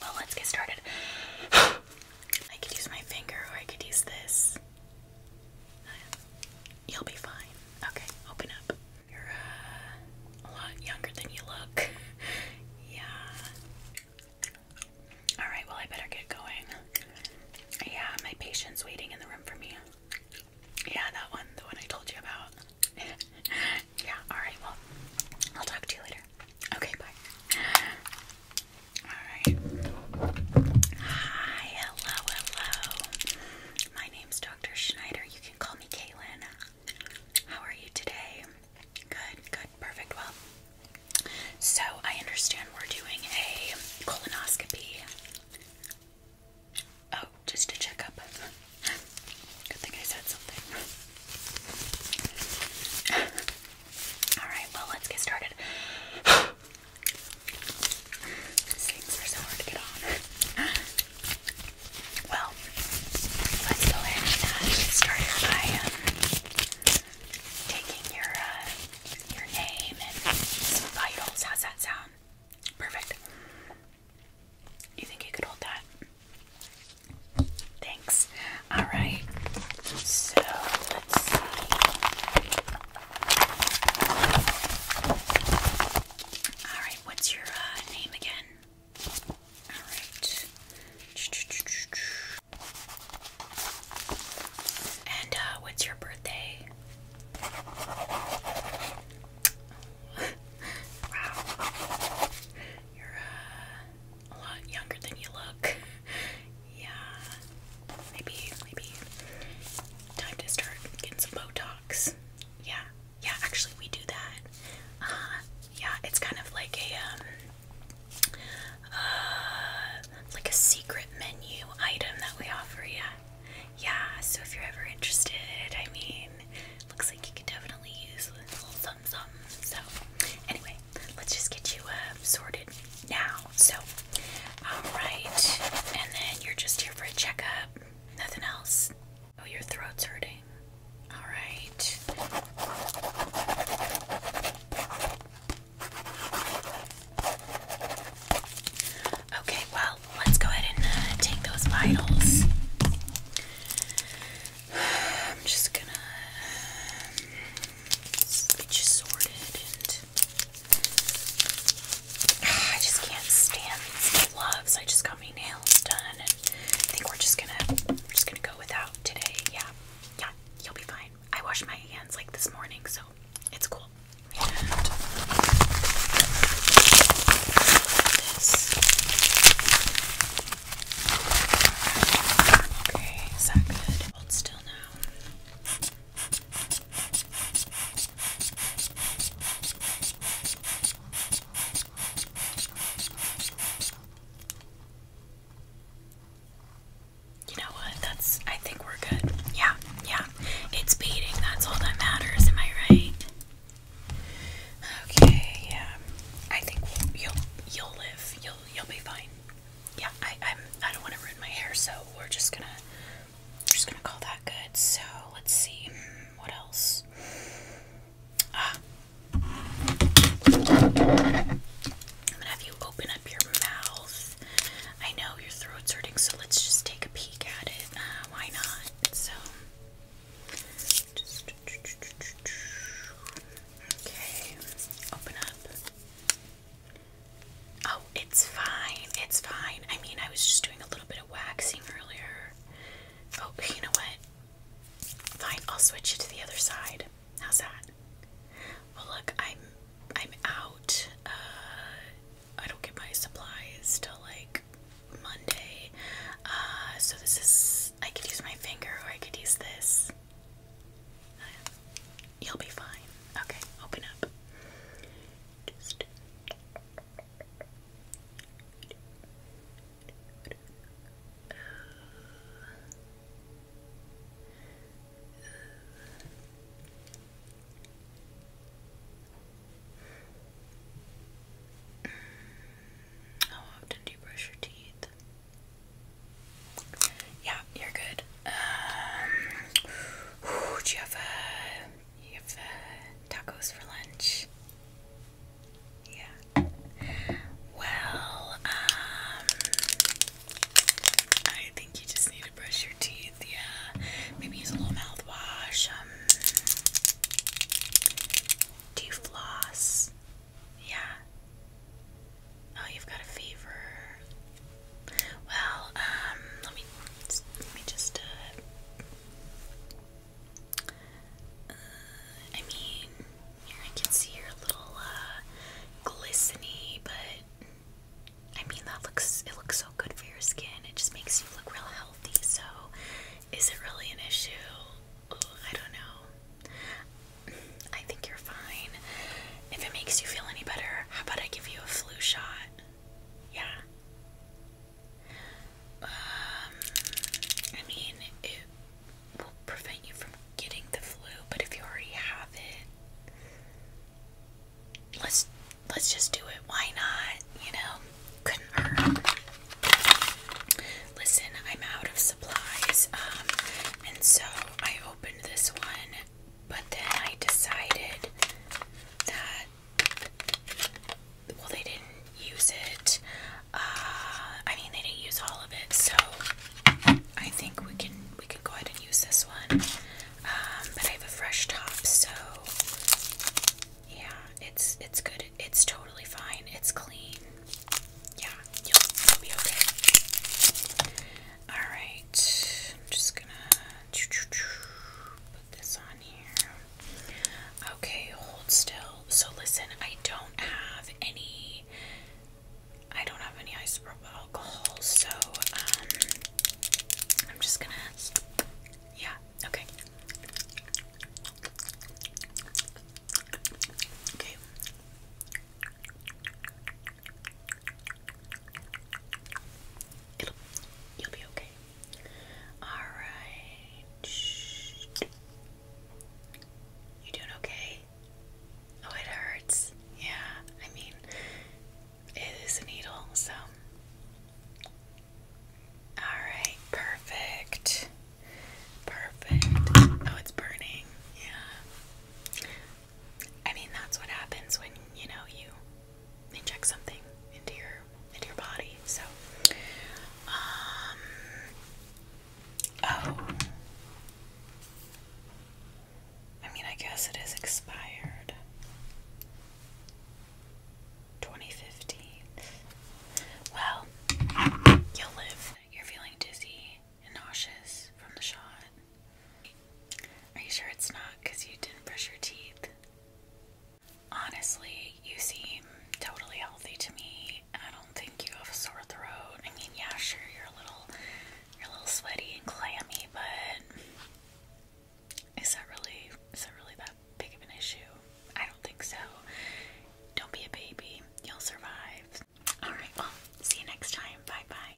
Well, let's get started. I could use my finger or I could use this. You'll be fine. Okay, open up. You're uh, a lot younger than you look. yeah. Alright, well, I better get going. Yeah, my patient's waiting in the room for me. Yeah, that one, the one I told you about. Yeah, alright, well, I'll talk to you later. Okay, bye. Alright. Hi, hello, hello. My name's Dr. Schneider. You can call me Kaylin. How are you today? Good, good, perfect. Well, so I understand we're doing a colonoscopy. Oh, just a checkup. Good thing I said something. Alright, well, let's get started. things are so hard to get on. Well, let's go ahead and uh, get by um, taking your uh, your name and vitals. How's that sound? Perfect. You think you could hold that? Thanks. All right. So let's see. All right. What's your uh, name again? All right. And uh, what's your birthday? wow. You're uh, a lot younger than you look. yeah. Maybe, maybe time to start getting some Botox. Yeah. Yeah, actually, we do that. Uh, yeah, it's kind of like a, um, uh, like a secret menu item that we offer, yeah yeah, so if you're ever interested, I mean, looks like you could definitely use a little something, So, anyway, let's just get you um, sorted now. So, alright, and then you're just here for a checkup, nothing else. Oh, your throat's hurting. Alright. Okay, well, let's go ahead and uh, take those vitals. I'm just gonna um, get you sorted I just can't stand gloves. I just got my nails done, and I think we're just gonna we're just gonna go without today. Yeah, yeah, you'll be fine. I washed my hands like this morning, so it's cool. Okay, is that good? Hold still now. You know what? That's. I think we're good. Yeah, yeah. It's beating. That's all that matters. Am I right? Okay. Yeah. I think you'll you'll live. You'll you'll be fine. Yeah. I I'm. I don't want to ruin my hair, so we're just gonna we're just gonna call that good. So let's see. Hmm, what else? Ah. I'm gonna have you open up your mouth. I know your throat's hurting, so let's just take a peek at it. Uh, why not? So, okay, open up. Oh, it's fine. It's fine. I mean, I was just doing a little bit of waxing earlier. Oh, you know what? Fine, I'll switch it to the other side. How's that? Well, look, I'm I'm out. Uh, I don't get my supplies till like Monday. Uh, so this is I could use my finger or I could use this. you'll be fine. Okay, open up. Just how often do you brush your teeth? Yeah, you're good. Um, do you have, uh, you have uh, tacos for lunch? Yeah. Well, um, I think you just need to brush your teeth. Yeah. Maybe use a little mouthwash. Um, do you floss? Yeah. Oh, you've got a fever. Well, um, let me let me just uh uh, I mean, here I can see your little uh, but I mean that looks it looks so good for your skin. It just makes you look real healthy. So, is it really an issue? I don't know. I think you're fine. If it makes you feel any better, how about I give you a flu shot? Yeah. Um, I mean, it will prevent you from getting the flu, but if you already have it, let's let's just do it. Why not? You know, couldn't hurt. Listen, I'm out of supplies, um, and so I opened this one, but then I decided that well, they didn't use it. Uh, I mean, they didn't use all of it, so I think we can we can go ahead and use this one. Um, but I have a fresh top, so yeah, it's it's good. It's totally fine. It's clean. Yeah, you'll be okay. All right, I'm just gonna put this on here. Okay, hold still. So listen, I don't have any I don't have any isopropyl alcohol, so um I'm just gonna Yeah, okay. Okay. It'll you'll be okay. Alright. You doing okay? Oh, it hurts. Yeah, I mean, it is a needle, so. Alright, perfect. Perfect. Oh, it's burning. Yeah. I mean, that's what happens when, you know, you inject something into your into your body. So, um, oh, I mean, I guess it is expired. 2015. Well, you'll live. You're feeling dizzy and nauseous from the shot. Are you sure it's not because you didn't brush your teeth? Honestly, you seem totally healthy to me. I don't think you have a sore throat. I mean, yeah, sure, you're a little, you're a little sweaty and clammy, but is that really, is that really that big of an issue? I don't think so. Don't be a baby. You'll survive. All right. Well, see you next time. Bye bye.